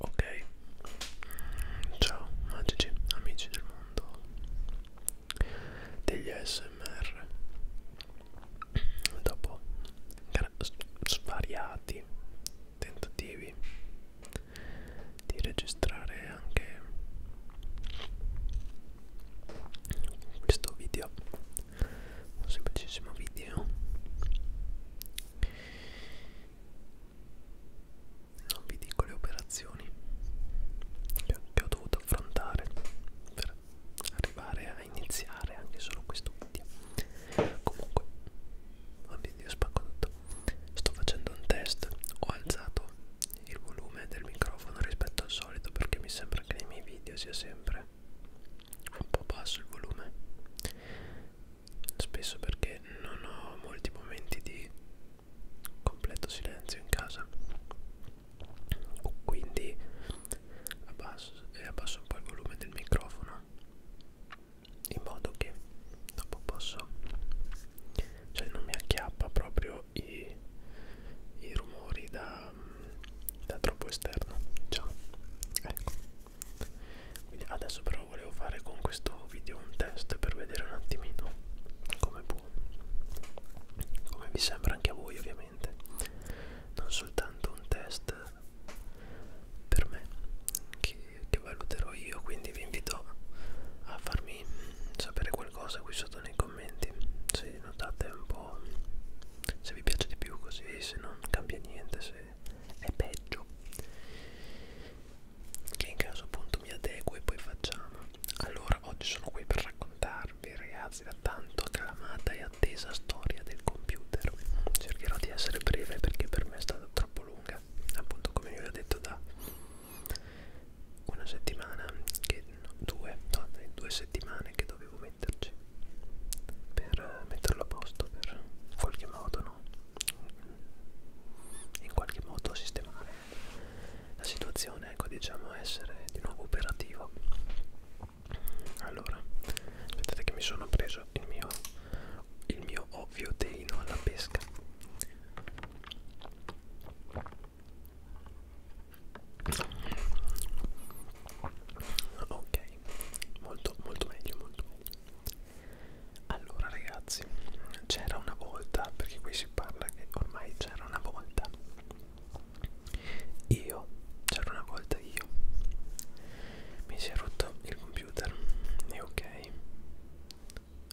Ok, ciao magici amici del mondo degli ASMR Dopo svariati tentativi di registrare anche questo video un semplicissimo video non vi dico le operazioni che, che ho dovuto affrontare per arrivare a iniziare anche solo questo video comunque oh mio dio spacco tutto sto facendo un test ho alzato il volume del microfono rispetto al solito perché mi sembra che nei miei video sia sempre un po' basso il volume spesso perché non ho molti momenti di completo silenzio in casa quindi abbasso, abbasso un po' il volume del microfono in modo che dopo posso cioè non mi acchiappa proprio i, i rumori da, da troppo esterno ciao ecco quindi adesso però volevo fare con questo video un test per vedere un attimino come può come vi sembra anche a voi ovviamente non soltanto un test per me che, che valuterò io quindi vi invito a farmi sapere qualcosa qui sotto nei commenti se notate un po' se vi piace di più così se non cambia niente se è peggio che in caso appunto mi adeguo e poi facciamo allora oggi sono qui per raccontarvi ragazzi la tanto acclamata e attesa storia del computer cercherò di essere breve perché per me è stata troppo lunga appunto come vi ho detto da una settimana che no, due no, due settimane che dovevo metterci per eh, metterlo a posto per in qualche modo no in qualche modo sistemare la situazione ecco diciamo essere di nuovo operativo allora aspettate che mi sono preso il mio il mio ovvio teino alla pesca ok molto molto meglio molto meglio allora ragazzi, c'era una volta, perché qui si parla che ormai c'era una volta. Io, c'era una volta io. Mi si è rotto il computer. E ok.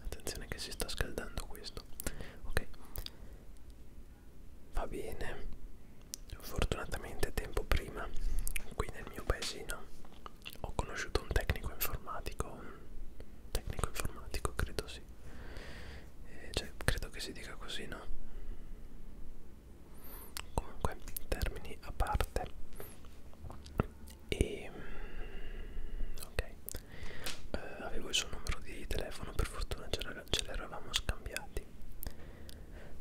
Attenzione che si sta scaldando questo. Ok. Va bene. Fortunatamente tempo prima qui nel mio paesino ho conosciuto un tecnico informatico, un tecnico informatico credo sì, eh, cioè credo che si dica così no? Comunque termini a parte e mm, ok, eh, avevo il suo numero di telefono, per fortuna ce l'eravamo scambiati.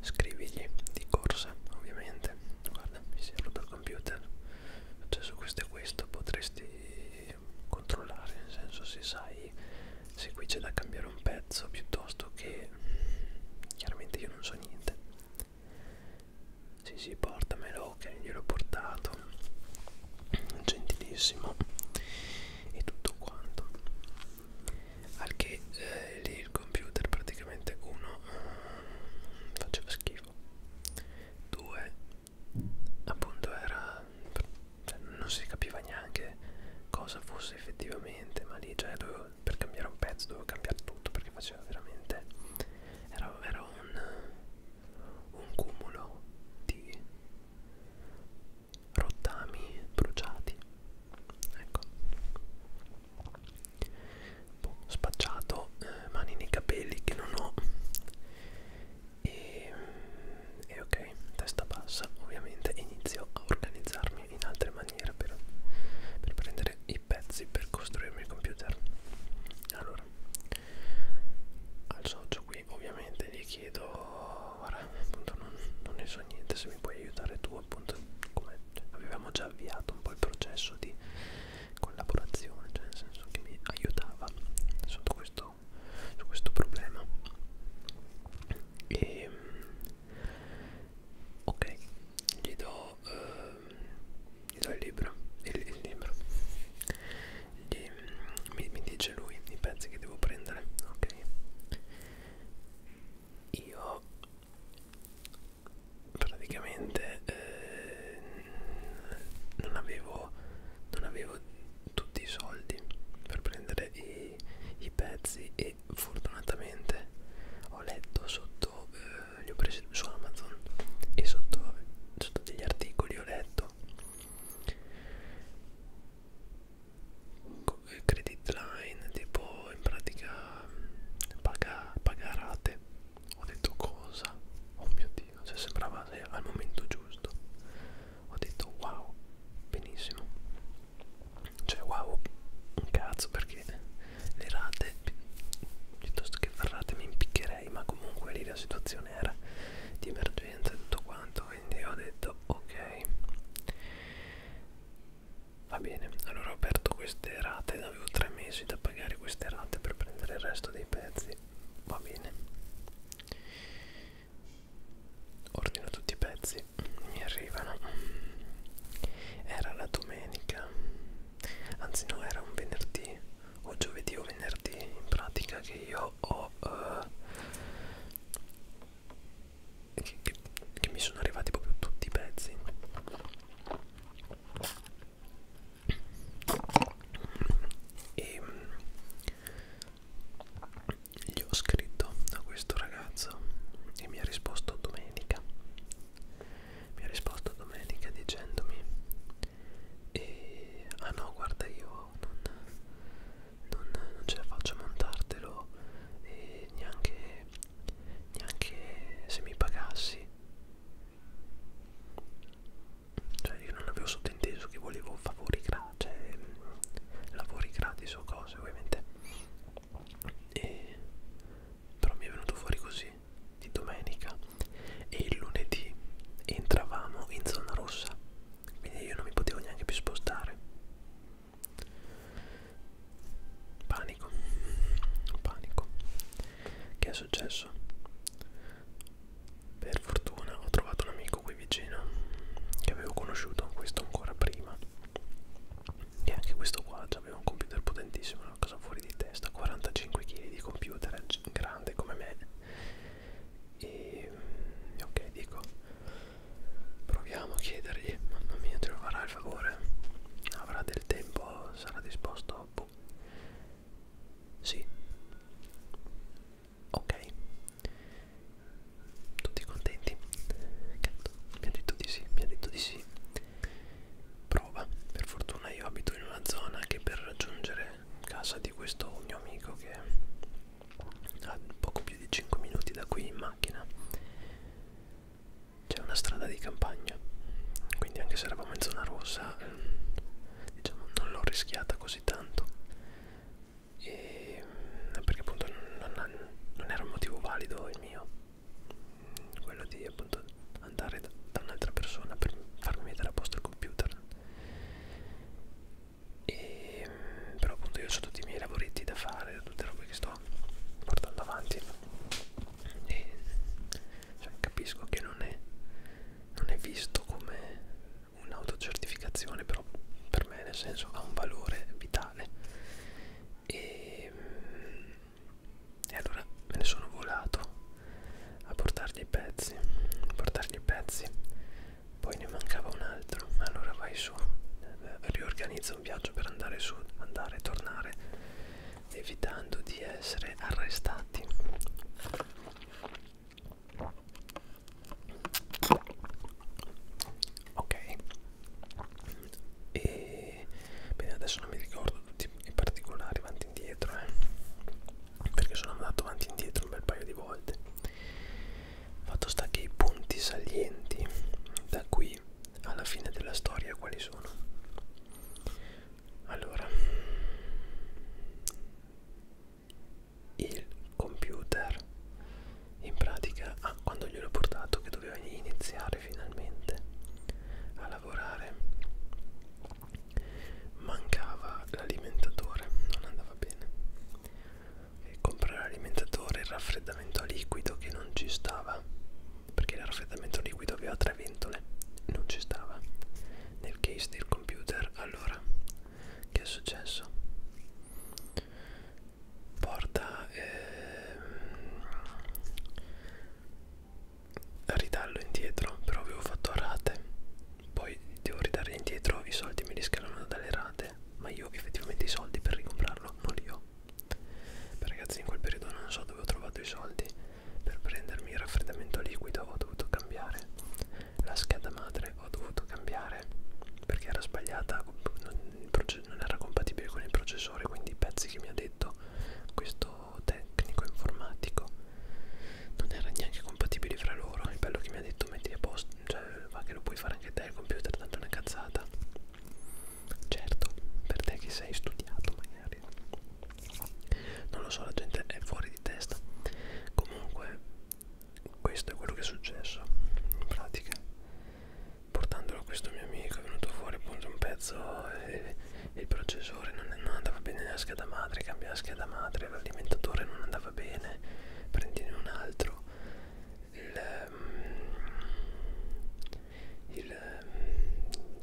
Scrivigli di corsa, ovviamente guarda mi si è rotto il computer cioè su questo e questo potresti controllare nel senso se sai se qui c'è da cambiare un pezzo piuttosto che chiaramente io non so niente sì sì portamelo ok gliel'ho portato gentilissimo e tutto quanto al che eh, lì il computer praticamente uno eh, faceva schifo 2 appunto era cioè, non si capiva neanche cosa fosse effettivamente ma lì cioè, dovevo, per cambiare un pezzo dovevo cambiare tutto perché faceva veramente era, era un, un cumulo di rottami bruciati ecco boh, spacciato eh, mani nei capelli che non ho e, e ok testa bassa ovviamente inizio a organizzarmi in altre maniere per, per prendere i pezzi per costruirmi il computer allora al socio qui ovviamente gli chiedo guarda appunto non, non ne so niente se mi puoi aiutare tu appunto come avevamo già avviato un po' il processo di collaborazione, cioè nel senso che mi aiutava sotto questo, su questo problema. E, ehm, ok, gli do, uh, gli do il libro, il, il libro. Gli, mi, mi dice lui i pezzi che devo prendere, ok? Io praticamente eh, non, avevo, non avevo tutti i soldi per prendere i, i pezzi e fortunatamente ho letto sotto eh, li ho presi su Amazon e sotto, sotto degli articoli ho letto credit line tipo in pratica mm, paga, paga rate ho detto cosa? Oh mio dio, cioè sembrava eh, al momento giusto. Ho detto wow, benissimo. Cioè wow, un cazzo perché le rate, piuttosto che ferrate mi impiccherei, ma comunque lì la situazione era di emergenza e tutto quanto, quindi ho detto ok. Va bene, allora ho aperto queste rate, avevo tre mesi da pagare queste rate per prendere il resto dei pezzi. Va bene. Ordino tutti i pezzi, mi arrivano. Era la domenica, anzi no, era un venerdì, o giovedì o venerdì, in pratica che io ho... Uh, che, che, che mi sono arrivati proprio tutti i pezzi e mm, gli ho scritto a questo ragazzo e mi ha risposto domenica mi ha risposto domenica dicendomi e, ah no guarda io non, non, non ce la faccio a montartelo e neanche, neanche se mi pagassi cioè io non avevo sottinteso che volevo favori gratis cioè, mm, lavori gratis o cose ovviamente e, però mi è venuto fuori così di domenica e il lunedì entravamo in zona rossa quindi io non mi potevo neanche più spostare Panico, panico. Che è successo? Per fortuna ho trovato un amico qui vicino che avevo conosciuto, questo ancora prima. E anche questo qua aveva un computer potentissimo, una cosa fuori di testa, 45 kg di computer, grande come me. E ok, dico, proviamo a chiedergli, mamma mia, troverà il favore, avrà del tempo, sarà disposto ma boh. Sì. Ok. Tutti contenti? Cazzo. Mi ha detto di sì, mi ha detto di sì. Prova. Per fortuna io abito in una zona che per raggiungere casa di questo mio amico che ha poco più di 5 minuti da qui in macchina c'è una strada di campagna quindi anche se eravamo in zona rossa ehm, diciamo non l'ho rischiata così tanto e, eh, perché appunto non, non, non era un motivo valido il mio quello di appunto andare da, da un'altra persona per farmi mettere a posto il computer e, però appunto io ho tutti i miei lavoretti da fare tutte le robe che sto portando avanti e cioè, capisco che non è, non è visto come un'autocertificazione però per me nel senso ha un valore vitale e, ehm, e allora me ne sono volato a portargli i pezzi a portargli i pezzi poi ne mancava un altro allora vai su eh, riorganizza un viaggio per andare su andare e tornare evitando di essere arrestati. Ok, e bene, adesso non mi ricordo tutti i particolari avanti e indietro, eh, perché sono andato avanti e indietro un bel paio di volte. Fatto sta che i punti salienti da qui alla fine della storia quali sono? allora il computer in pratica ah, quando gliel'ho portato che doveva iniziare finalmente a lavorare mancava l'alimentatore non andava bene e comprare l'alimentatore il raffreddamento a liquido che non ci stava perché il raffreddamento liquido aveva tre ventole, non ci stava. Nel case del computer, allora, che è successo? Porta ehm, ridallo indietro, però avevo fatto rate, poi devo ridare indietro, i soldi me li scalano dalle rate, ma io effettivamente i soldi per ricomprarlo non li ho so Beh, ragazzi in quel periodo non so dove ho trovato i soldi per prendermi il raffreddamento liquido ho dovuto cambiare la scheda madre ho dovuto cambiare perché era sbagliata non, non era compatibile con il processore quindi i pezzi che mi ha detto questo tecnico informatico non era neanche compatibile fra loro è bello che mi ha detto metti a posto cioè va che lo puoi fare anche te il computer tanto è una cazzata certo per te che sei studiato magari non lo so la gente è fuori di testa comunque questo è quello che è successo in pratica portandolo a questo mio amico è venuto fuori appunto un pezzo e, e il processore non, non andava bene nella scheda madre cambiava scheda madre l'alimentatore non andava bene prendine un altro il, um, il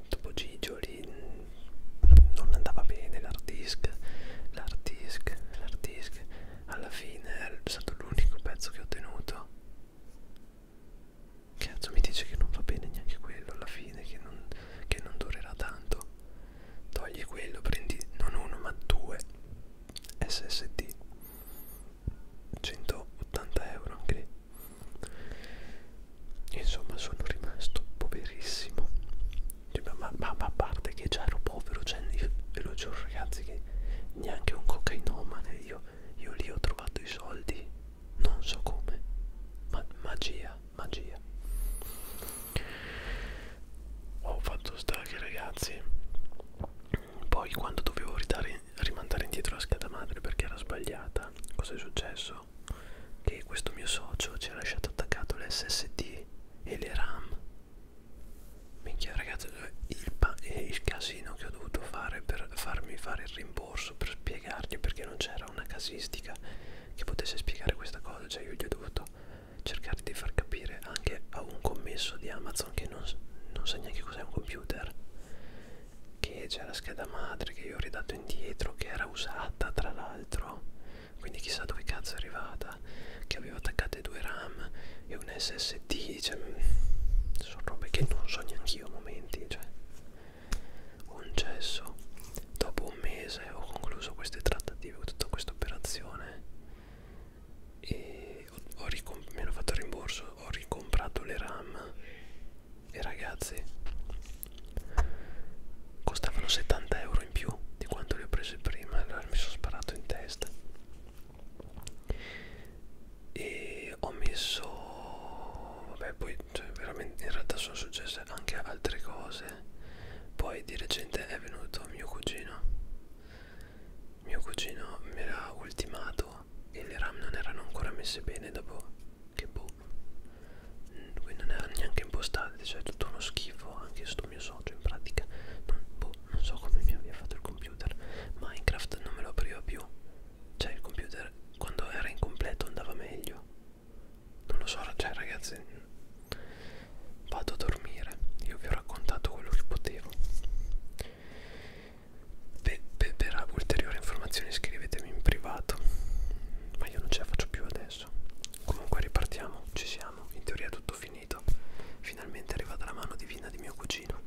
Topo ehm, Gigio lì non andava bene l'hard disk, l'hard disk, l'hard disk alla fine è stato l'unico pezzo che ho tenuto cazzo mi dice che non va bene neanche quello alla fine che non, che non durerà tanto togli quello prendi non uno ma due SSD 180 euro anche lì Insomma sono rimasto poverissimo, cioè, ma, ma, ma a parte che già ero povero, cioè, io, ve lo giuro ragazzi che neanche un cocainomane, io, io lì ho trovato i soldi, non so come, ma magia, magia. Ho fatto sta che ragazzi, poi quando dovevo ridare, rimandare indietro la scheda madre perché era sbagliata, cosa è successo? video che questo mio socio ci ha lasciato attaccato l'SSD e le RAM minchia ragazzi il, il casino che ho dovuto fare per farmi fare il rimborso per spiegargli perché non c'era una casistica che potesse spiegare questa cosa cioè io gli ho dovuto cercare di far capire anche a un commesso di Amazon che non, non sa neanche cos'è un computer che c'è la scheda madre che io ho ridato indietro che era usata tra l'altro quindi chissà dove cazzo è arrivata che aveva attaccate due RAM e un SSD cioè, sono robe che non so neanche io a momenti cioè un cesso dopo un mese ho concluso queste trattative tutta questa operazione e ho, ho mi hanno fatto il rimborso ho ricomprato le RAM e ragazzi costavano 70 euro in più di quanto li ho presi prima allora mi sono sparato in testa e ho messo vabbè poi cioè, veramente in realtà sono successe anche altre cose poi di recente è venuto mio cugino mio cugino mi era ultimato e le RAM non erano ancora messe bene dopo che boh mm, qui non era neanche impostato cioè è tutto uno schifo anche sto mio socio in pratica non, boh non so come mi abbia fatto il computer minecraft non me lo apriva più cioè il computer quando era incompleto andava meglio non lo so cioè ragazzi mm, vado a dormire io vi ho raccontato quello che potevo per, per, per ulteriori informazioni scrivetemi in privato ma io non ce la faccio più adesso comunque ripartiamo ci siamo in teoria è tutto finito finalmente è arrivata la mano divina di mio cugino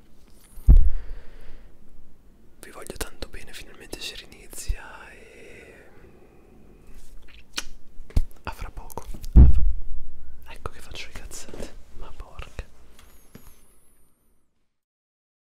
vi voglio tanto bene finalmente si rinizia e mm, a fra poco a fra... ecco che faccio le cazzate ma porca